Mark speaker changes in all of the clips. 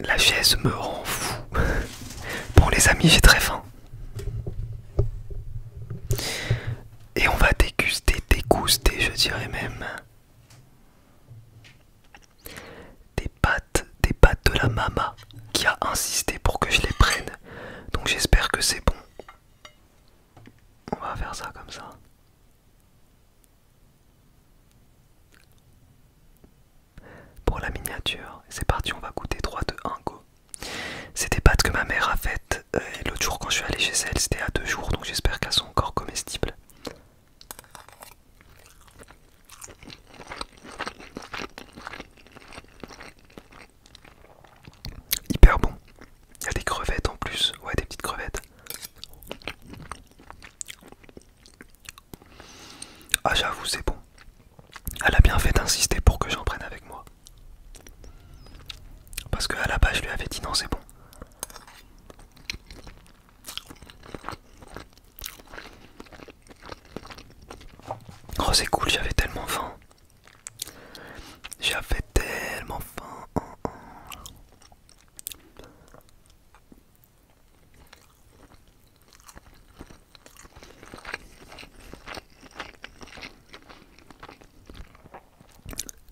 Speaker 1: La chaise me rend fou. Bon les amis, j'ai très faim. Et on va déguster, déguster, je dirais même. Des pâtes, des pâtes de la mama qui a insisté pour que je les prenne. Donc j'espère que c'est bon. On va faire ça comme ça. Pour la miniature, c'est parti, on va goûter 3 de 1 go. C'est des pâtes que ma mère a faites euh, l'autre jour quand je suis allé chez elle, c'était à deux jours, donc j'espère qu'elles sont encore comestibles. Hyper bon. Il y a des crevettes en plus, ouais des petites crevettes. Ah j'avoue c'est bon. Elle a bien fait d'insister pour que j'en prenne avec moi. Parce que à la base je lui avais dit non c'est bon. Oh c'est cool, j'avais tellement faim. J'avais tellement faim.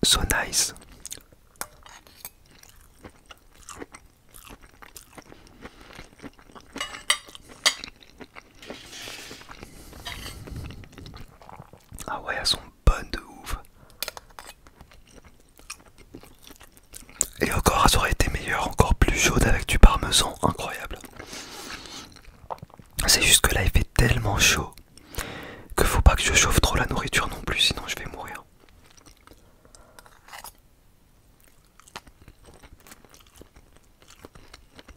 Speaker 1: So nice. Ah ouais, elles sont bonnes de ouf. Et encore, elles auraient été meilleures, encore plus chaudes avec du parmesan, incroyable. C'est juste que là, il fait tellement chaud que faut pas que je chauffe trop la nourriture non plus, sinon je vais mourir.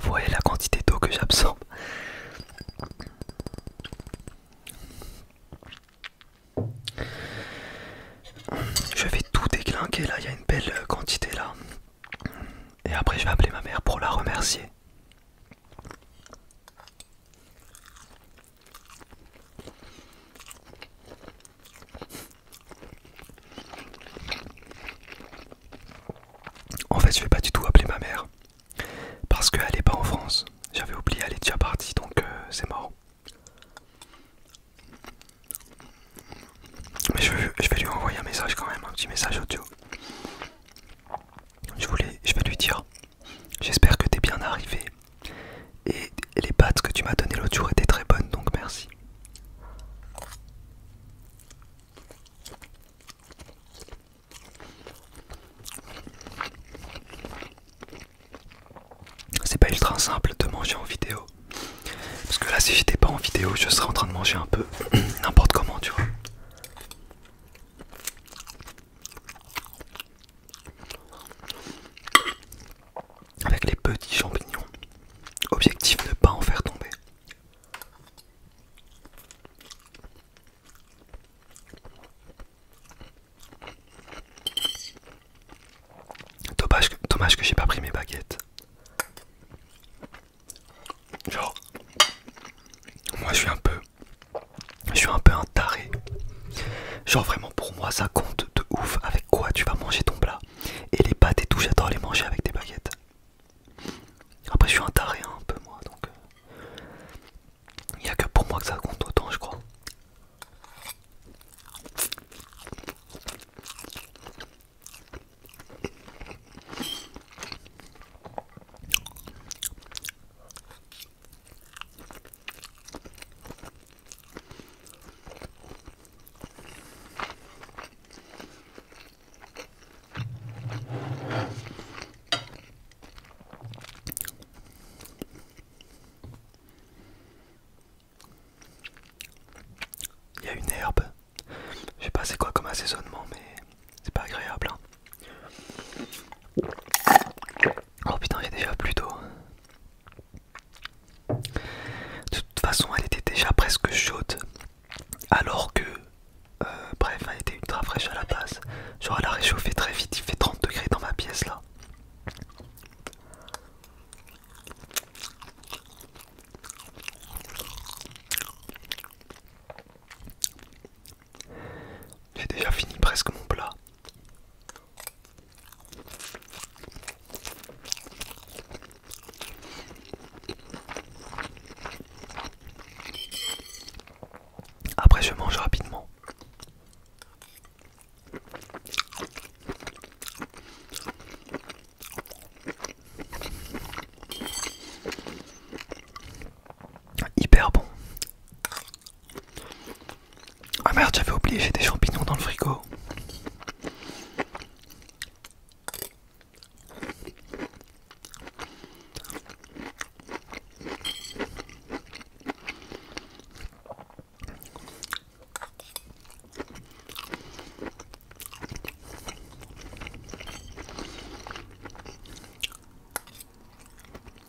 Speaker 1: Vous voyez la quantité d'eau que j'absorbe. Je vais tout déclinquer là, il y a une belle quantité là. Et après je vais appeler ma mère pour la remercier. En fait, je vais pas du tout appeler ma mère parce qu'elle est pas en France. J'avais oublié, elle est déjà partie donc euh, c'est marrant. Mais je, je vais lui envoyer un message quand même, un petit message audio. Je, voulais, je vais lui dire J'espère que t'es bien arrivé et les pâtes que tu m'as données l'autre jour étaient très bonnes donc merci. C'est pas ultra simple de manger en vidéo. Parce que là, si j'étais pas en vidéo, je serais en train de manger un peu n'importe comment, tu vois avec les petits champignons. Objectif ne pas en faire tomber. Dommage que, que j'ai pas pris mes baguettes. Genre, moi je suis un peu, je suis un peu un taré. Genre vraiment pour moi ça compte de ouf avec quoi tu vas manger ton plat. Et les pâtes et tout, j'adore les manger avec des baguettes. Après, je suis un taré hein, un peu moi, donc il euh, n'y a que pour moi que ça compte autant, je crois. Il y a une herbe. Je sais pas c'est quoi comme assaisonnement mais c'est pas agréable. Hein. Oh putain j'ai déjà plus tôt. De toute façon, elle était déjà presque chaude, alors que, euh, bref, elle était ultra fraîche à la base. Genre, elle a réchauffé très vite, il fait 30 degrés dans ma pièce là. J'ai déjà fini presque mon plat. Après je mange rapidement. Hyper bon. Ah merde, j'avais oublié, j'ai des champignons dans le frigo.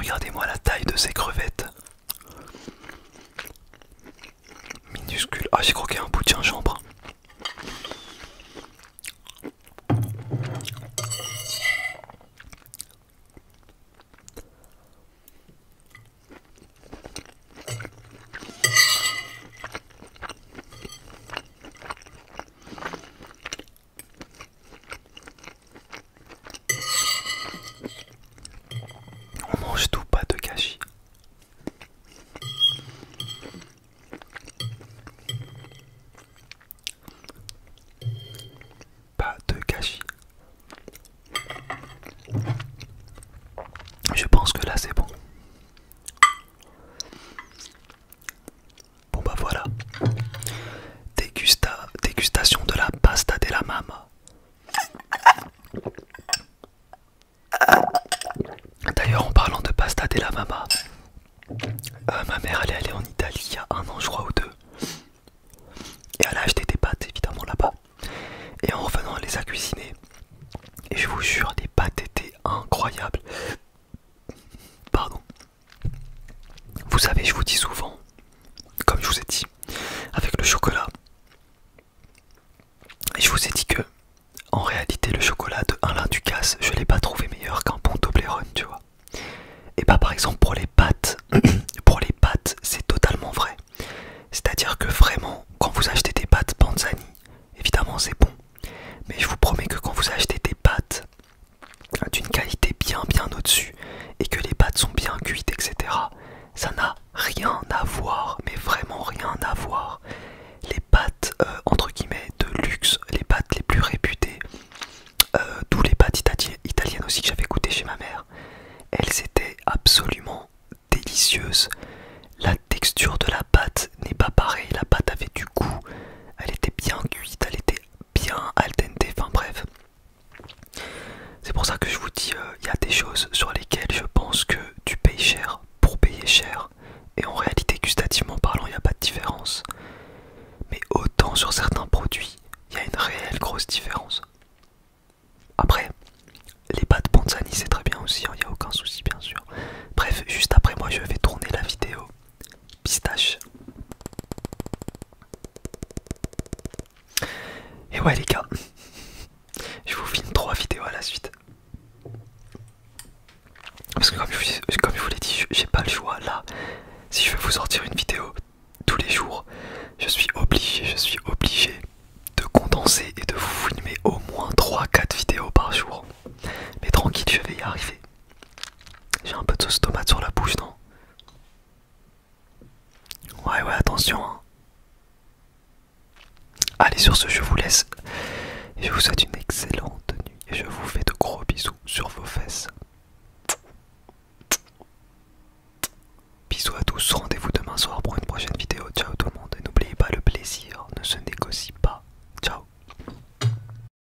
Speaker 1: Regardez-moi la taille de ces crevettes minuscule. Ah, j'ai croqué un bout de chambre. On mange tout, pas de gâchis. Pas de gâchis. Je pense que là c'est bon. Bon bah voilà. Dégusta, dégustation de la pasta de la maman D'ailleurs, en parlant de pasta della mamma, mama euh, ma mère allait aller en Italie il y a un an, je crois, ou deux. Et elle a acheté des pâtes évidemment là-bas. Et en revenant, elle les a cuisinées. Et je vous jure, les pâtes étaient incroyables. Pardon. Vous savez, je vous dis souvent, comme je vous ai dit, avec le chocolat. Et je vous ai dit que, en réalité, le chocolat de du Ducasse, je l'ai pas trouvé meilleur qu'un bon Toblerone, tu vois. Et bah, par exemple, pour les pâtes, pour les pâtes, c'est totalement vrai. C'est-à-dire que vraiment, quand vous achetez des pâtes Panzani, évidemment c'est bon, mais je vous promets que quand vous achetez des pâtes hein, d'une qualité bien bien au-dessus et que les pâtes sont bien cuites, etc., ça n'a rien à voir, mais vraiment rien à voir. Les pâtes, euh, entre guillemets, de luxe, les pâtes les plus réputées, d'où euh, les pâtes italiennes aussi que j'avais goûté chez ma mère, elles étaient absolument délicieuses. La texture de la pâte n'est pas pareille, la pâte avait du goût, elle était bien cuite, elle était bien al dente, enfin bref. C'est pour ça que je vous dis, il euh, y a des choses sur lesquelles je pense que tu payes cher pour payer cher. Et en réalité, gustativement parlant, il n'y a pas de différence. Mais autant sur certains produits, il y a une réelle grosse différence. Après, les pâtes Panzani, c'est très bien aussi, il hein, n'y a aucun souci bien sûr. Bref, juste après moi, je vais tourner la vidéo pistache. Et ouais les gars, je vous filme trois vidéos à la suite. Parce que comme je, vous l'ai dit, j'ai pas le choix là. Si je veux vous sortir une vidéo tous les jours, je suis obligé, je suis obligé de condenser et de vous filmer au moins 3-4 vidéos par jour. Mais tranquille, je vais y arriver. J'ai un peu de sauce tomate sur la bouche, non Ouais, ouais, attention. Hein. Allez, sur ce, je vous laisse. Je vous souhaite une excellente nuit et je vous fais de gros bisous sur vos fesses. Bisous à tous, rendez-vous demain soir pour une prochaine vidéo. Ciao tout le monde et n'oubliez pas le plaisir ne se négocie pas. Ciao.